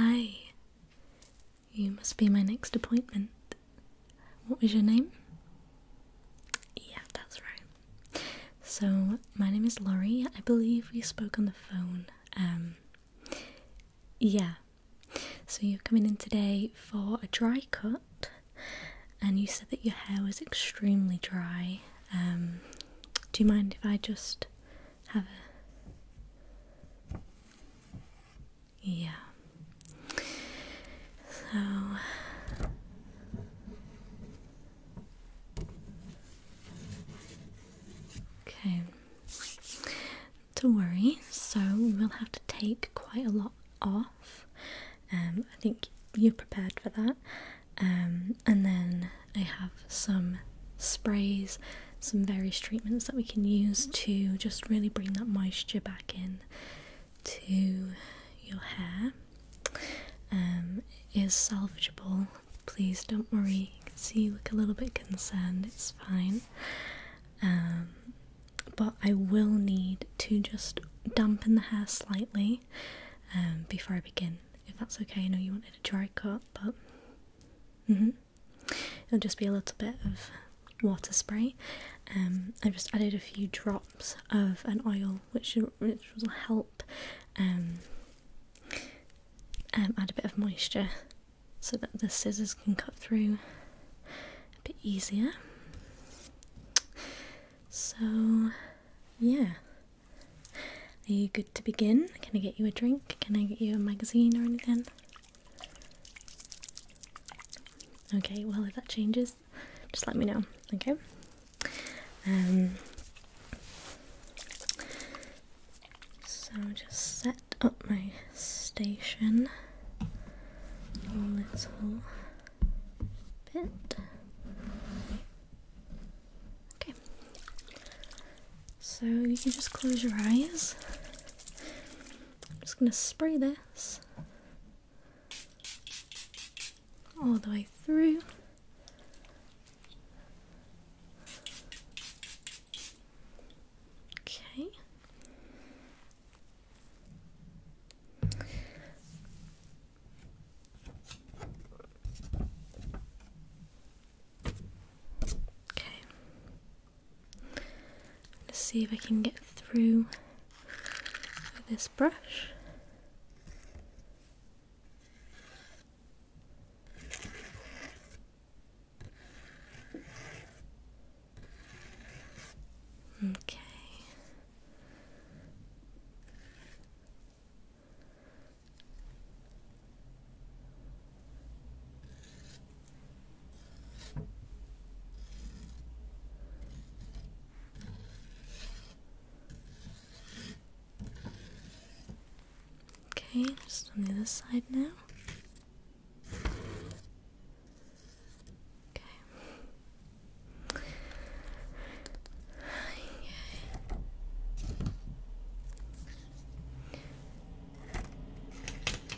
Hi, you must be my next appointment. What was your name? Yeah, that's right. So, my name is Laurie. I believe we spoke on the phone. Um, yeah. So, you're coming in today for a dry cut, and you said that your hair was extremely dry. Um, do you mind if I just have a yeah. So okay, don't worry. So we'll have to take quite a lot off. Um, I think you're prepared for that. Um, and then I have some sprays, some various treatments that we can use to just really bring that moisture back in to your hair. Um, it is salvageable. Please don't worry. You can see you look a little bit concerned. It's fine. Um, but I will need to just dampen the hair slightly um, before I begin, if that's okay. I know you wanted a dry cut, but Mm-hmm. It'll just be a little bit of water spray. Um, I've just added a few drops of an oil, which will help um, um, add a bit of moisture, so that the scissors can cut through a bit easier. So, yeah, are you good to begin? Can I get you a drink? Can I get you a magazine or anything? Okay, well, if that changes, just let me know, okay? Um, so just set up my station a little bit. Okay. So you can just close your eyes. I'm just going to spray this all the way through. Okay. Okay. Let's see if I can get through with this brush. Okay. Okay, just on the other side now. Okay.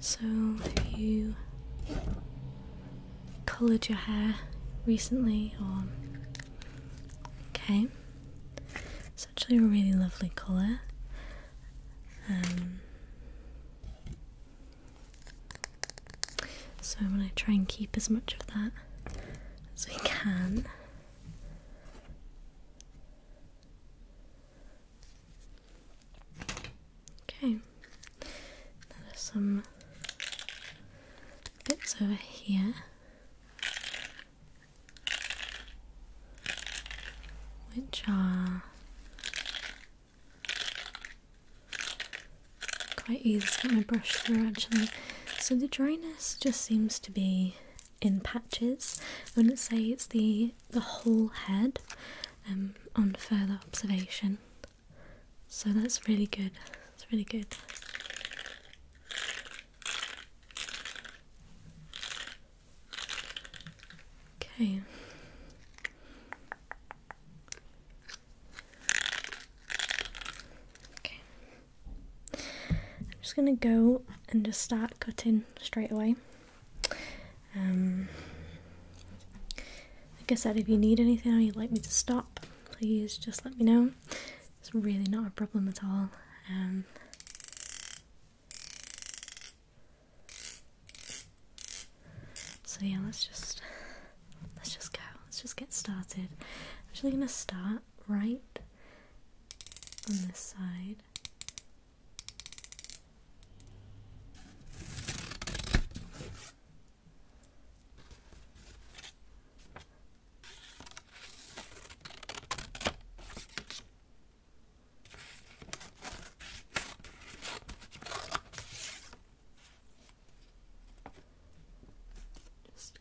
So, have you coloured your hair recently? Or okay, it's actually a really lovely colour. Um, so I'm gonna try and keep as much of that as we can. Okay, there's some bits over here which are quite easy to get my brush through actually. So the dryness just seems to be in patches. I wouldn't say it's the the whole head um, on further observation. So that's really good. It's really good. Okay. Okay. I'm just going to go and just start cutting straight away. Um, like I said, if you need anything or you'd like me to stop, please just let me know. It's really not a problem at all. Um, so yeah, let's just let's just go. Let's just get started. I'm actually gonna start right on this side. Just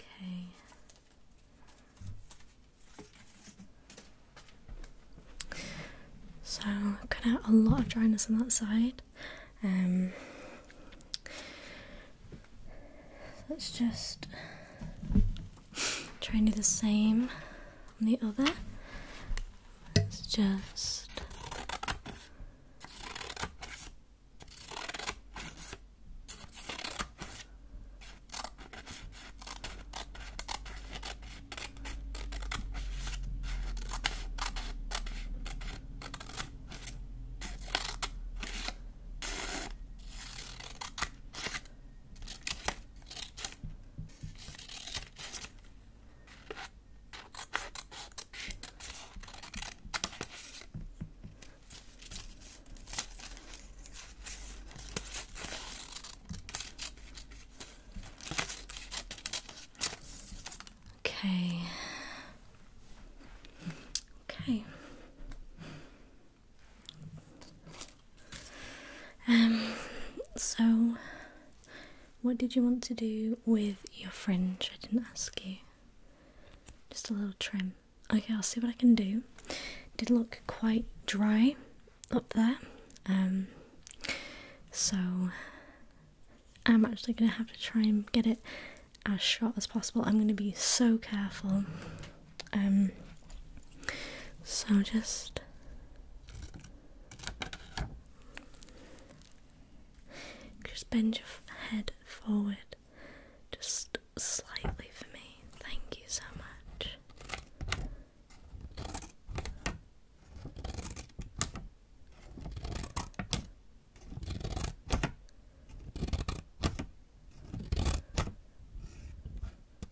Okay. So cut out a lot of dryness on that side. Um, let's just try and do the same on the other. It's just Okay. Okay. Um so what did you want to do with your fringe? I didn't ask you. Just a little trim. Okay, I'll see what I can do. Did look quite dry up there. Um so I'm actually gonna have to try and get it as short as possible. I'm gonna be so careful. Um so just just bend your head forward just slightly for me. Thank you so much.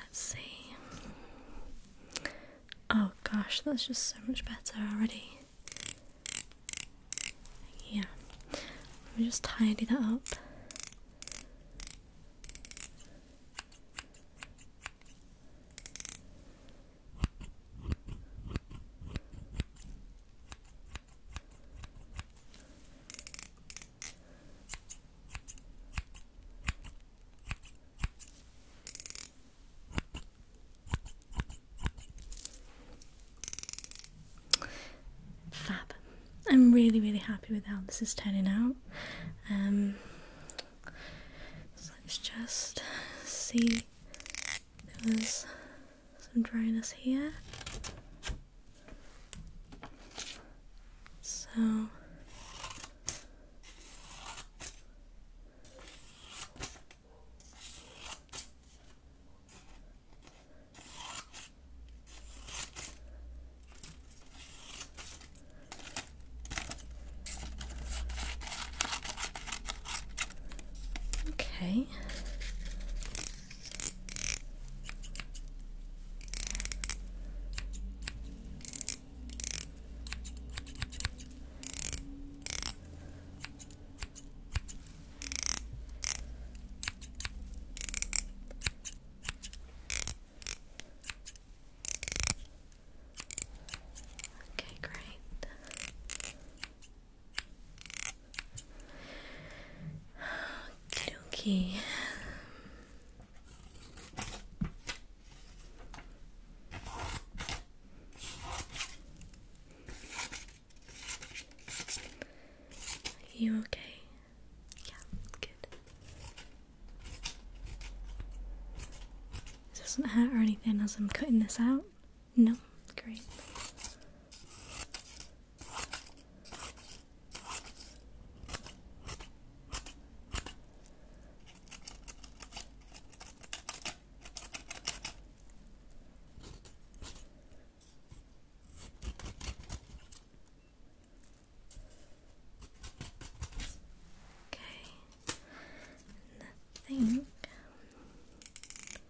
Let's see. Oh gosh, that's just so much better already. Yeah, let me just tidy that up. Fab. I'm really, really happy with how this is turning out. Um, so let's just see some dryness here. So Okay, Okay. Okay, great. Okay. You okay? Yeah, good. It doesn't hurt or anything as I'm cutting this out. No? Great. Okay. And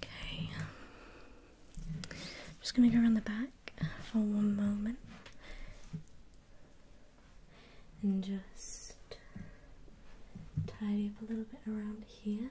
Okay. I'm just gonna go around the back for one moment and just tidy up a little bit around here.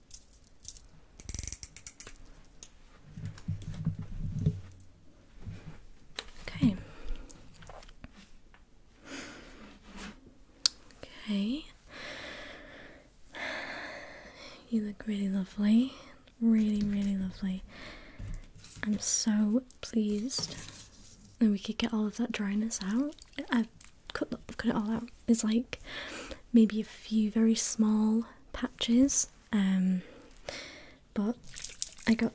Okay. Okay. You look really lovely. Really, really lovely. I'm so pleased that we could get all of that dryness out cut, it all out. There's like maybe a few very small patches, um, but I got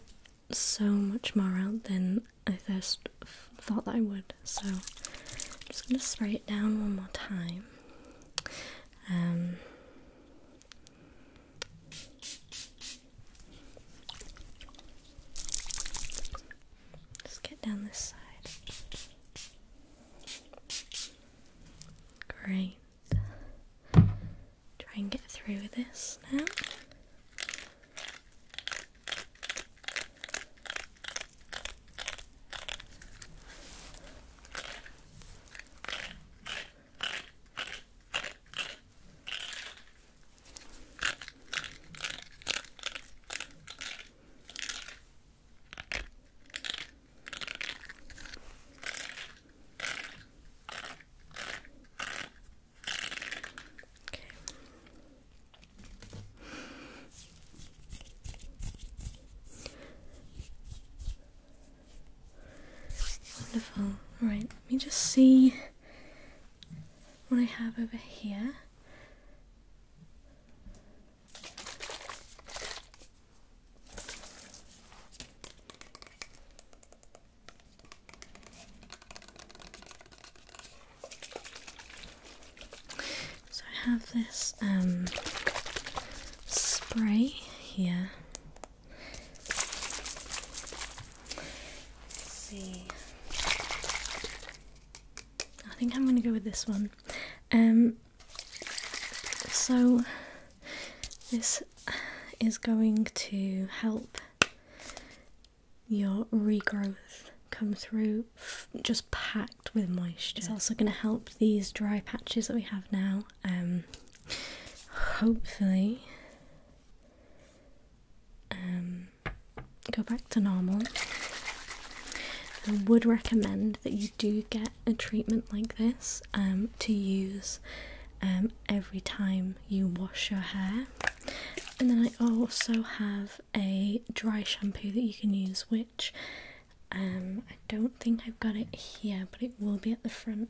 so much more out than I first thought that I would. So I'm just gonna spray it down one more time. Um, Let's get down this side. Great. Try and get through this now. Okay. Wonderful. Right, let me just see what I have over here. So I have this um, spray here. see. I think I'm gonna go with this one. Um, so this is going to help your regrowth come through just packed with moisture. It's also going to help these dry patches that we have now. Um, hopefully, um, go back to normal, I would recommend that you do get a treatment like this um, to use um, every time you wash your hair. And then I also have a dry shampoo that you can use, which um, I don't think I've got it here, but it will be at the front.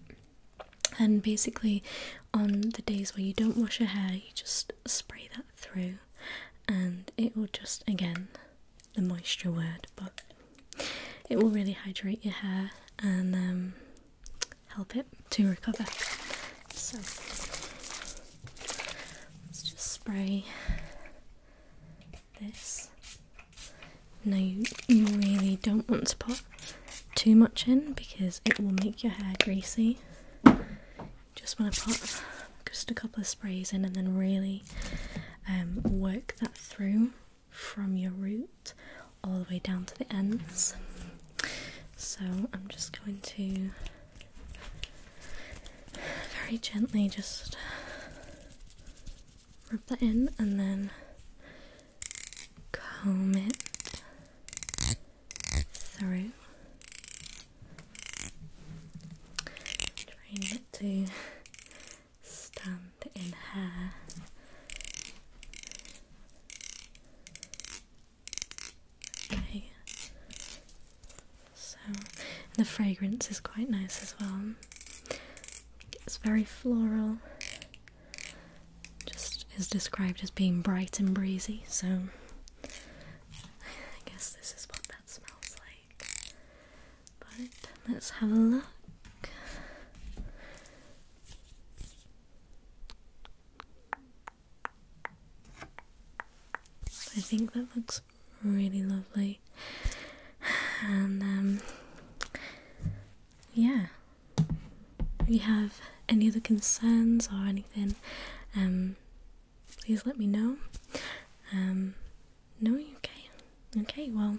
And basically, on the days where you don't wash your hair, you just spray that through and it will just again the moisture word but it will really hydrate your hair and um, help it to recover so let's just spray this now you, you really don't want to put too much in because it will make your hair greasy just want to put just a couple of sprays in and then really um, work that through from your root all the way down to the ends. So I'm just going to very gently just rub that in and then comb it through Trying not to stand in hair. Okay. So the fragrance is quite nice as well. It's very floral. Just is described as being bright and breezy, so I guess this is what that smells but let's have a look. I think that looks really lovely. And um yeah. If you have any other concerns or anything, um please let me know. Um, no, okay, okay. Well,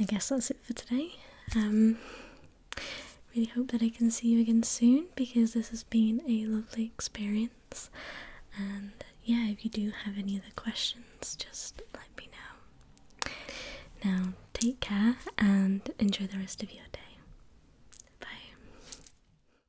I guess that's it for today. Um, really hope that I can see you again soon because this has been a lovely experience. And yeah, if you do have any other questions, just let me know. Now, take care and enjoy the rest of your day. Bye.